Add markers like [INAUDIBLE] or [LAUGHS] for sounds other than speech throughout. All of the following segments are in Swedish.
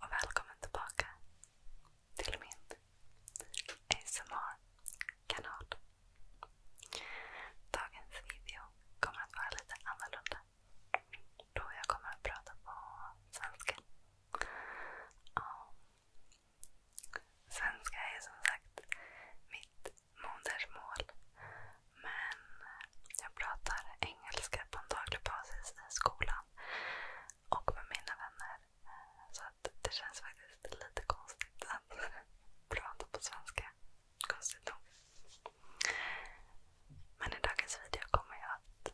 Och välkommen tillbaka till min ASMR-kanal. Dagens video kommer att vara lite annorlunda. jag kommer att prata på svenska. svenska är som sagt mitt modersmål. Men jag pratar engelska på en daglig basis i skolan och med mina vänner. Så att det känns faktiskt lite konstigt att [LAUGHS] prata på svenska. Konstigt nog. Men i dagens video kommer jag att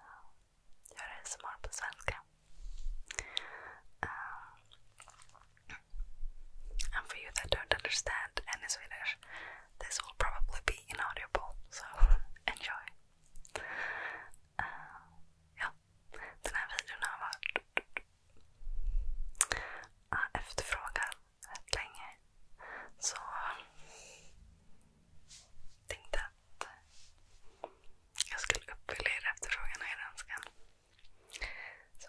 eh, göra ASMR på svenska. Um, And for you that don't understand any Swedish, this will probably be inaudible, so [LAUGHS] enjoy. Uh, ja, den här videon har varit uh, efterfrågad rätt länge. Så tänkte att jag skulle uppfylla er efterfrågan och er önskan. Så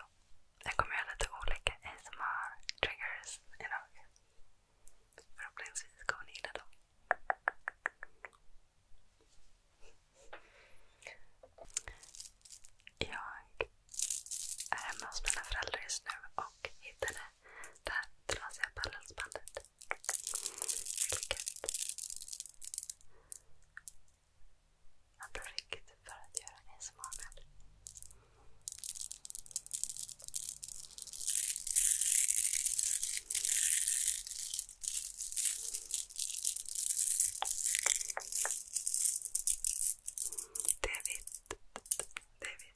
jag kommer göra lite olika ASMR-triggers idag. Förhoppningsvis kommer ni gilla dem. Jag är hemma hos mina föräldrar just nu och hittade det här trasiga pärlhalsbandet. Vilket ett projekt för att göra ASMR med. David, David.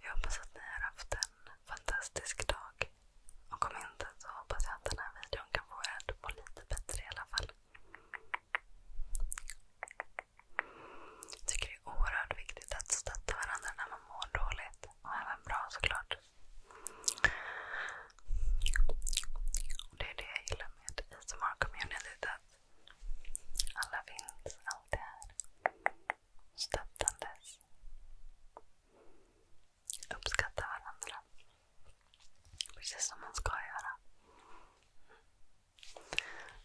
Jag hoppas att ni har haft en fantastisk dag. Och om inte så hoppas jag att den här videon kan få er att må lite bättre i alla fall. Jag tycker det är oerhört viktigt att stötta varandra när man mår dåligt. Och även bra såklart. Och det är det jag gillar med ASMR-communityt. Att alla finns alltid här. Stöttandes. Uppskatta varandra. Precis som man ska göra.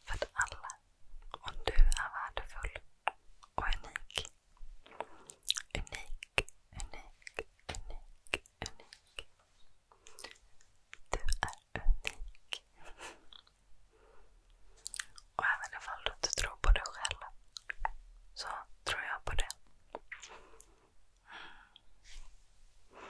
För att alla, och du är värdefull och unik. Unik unik, unik, unik. Du är unik. Och även ifall du inte tror på dig själv så tror jag på det. Mm.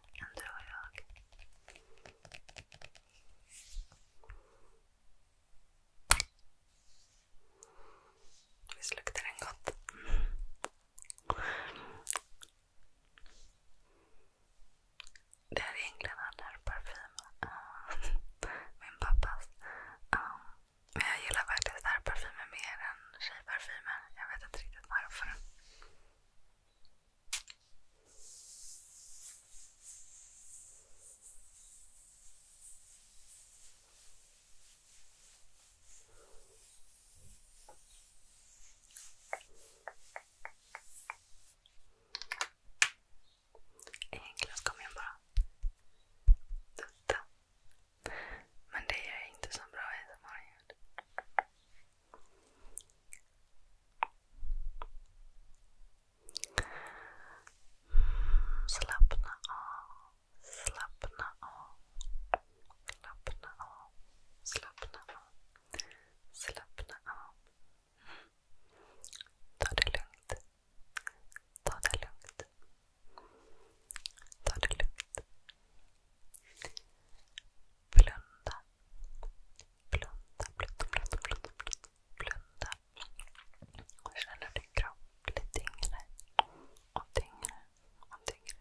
än du och jag. Visst luktar den gott? Det här är egentligen den här parfymen. Eh, min pappas. Um, men jag gillar faktiskt den här parfymen mer än tjejparfymen. Jag vet inte riktigt varför. Egentligen ska man bara dutta. Men det gör jag inte så bra i ljud. Slapna now. slapna now. slapna now. slapna now. slapna av. Ta det lugnt. Ta det lugnt. Ta det lugnt. Blunda. Blunda, blunda, blunda, blunda, blunda. Och känner hur din kropp lite dinglar och dinglar och dinglar.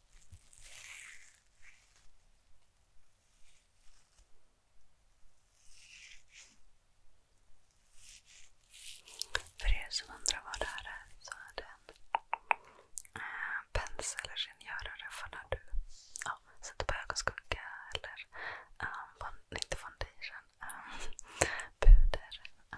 För er som undrar vad det här är så är det en äh, eh, penselrengörare för när du ja, sätter på ögonskugga eller äh, eh, fond, inte foundation, äh, [LAUGHS] puder. Äh,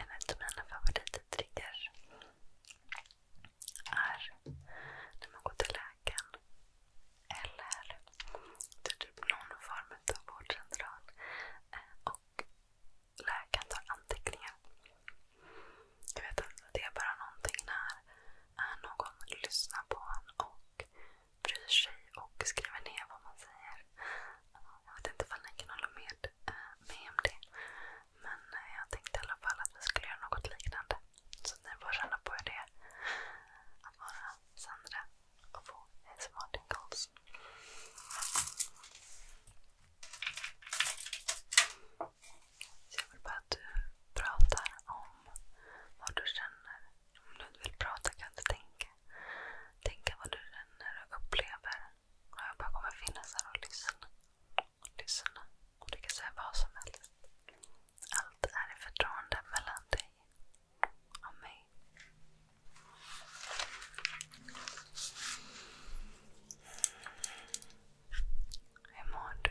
En av mina favorittriggers är när man går till läkaren eller till typ någon form av vårdcentral eh, och läkaren tar anteckningar. Jag vet att det är bara någonting när eh, någon lyssnar på en och bryr sig och skriver ner vad man säger. Jag vet inte ifall ni kan hålla med eh, mig om det. Men eh, jag tänkte i alla fall att vi skulle göra något liknande. Så ni får känna på hur det är att vara Sandra och få smart calls. Så jag vill bara att du pratar om vad du känner om du vill prata kan du tänka. Tänka vad du känner och upplever. Och jag bara kommer finnas här och lyssna. Lyssna. Och du kan säga vad som helst. Allt är i förtroende mellan dig och mig. Hur mår du?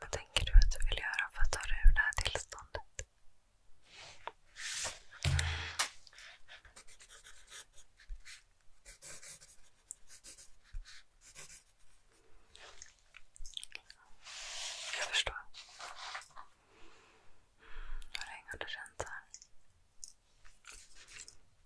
Vad tänker du att du vill göra för att ta dig ur det här tillståndet? Jag förstår. Hur länge har du känt så här?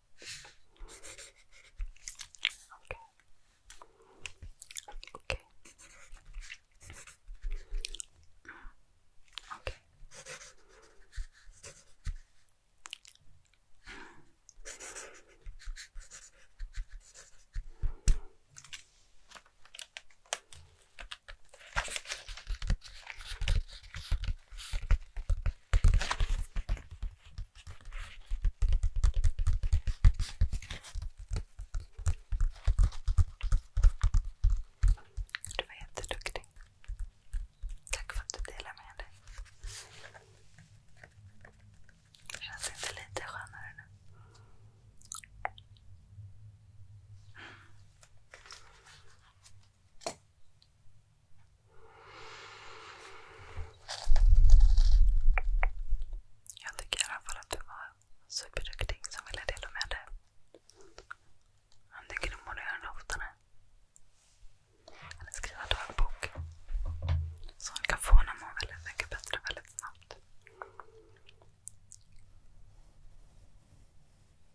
Okej. Okay. Okej. Okay. Okay. Du var jätteduktig. Tack för att du delade med dig. Det känns inte lite skönare nu? Jag tycker i alla fall att du var superduktig som ville dela med dig. Jag tycker du borde göra det oftare. Eller skriva dagbok. Så hon kan få henne att må väldigt mycket bättre väldigt snabbt.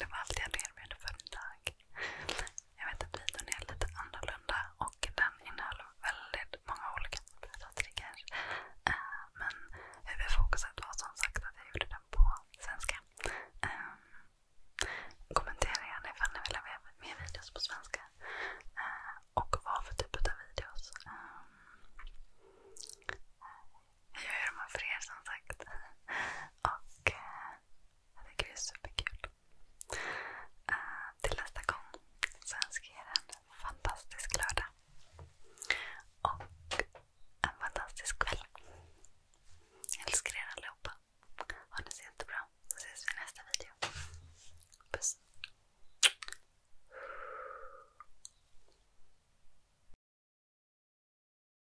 Det var allt jag delbjöd för idag. Jag vet att videon är lite annorlunda och den innehåller väldigt många olika typer eh, Men huvudfokuset var som sagt att jag gjorde den på svenska. Eh, Kommentera gärna ifall ni vill ha mer videos på svenska. Eh, och vad för typ av videos. Jag gör dem för er som sagt. [LAUGHS] Jag tycker det är superkul. Uh, till nästa gång så önskar jag er en fantastisk lördag. Och en fantastisk kväll. Jag älskar er allihopa. Ha det så jättebra. Så ses vi i nästa video. Puss.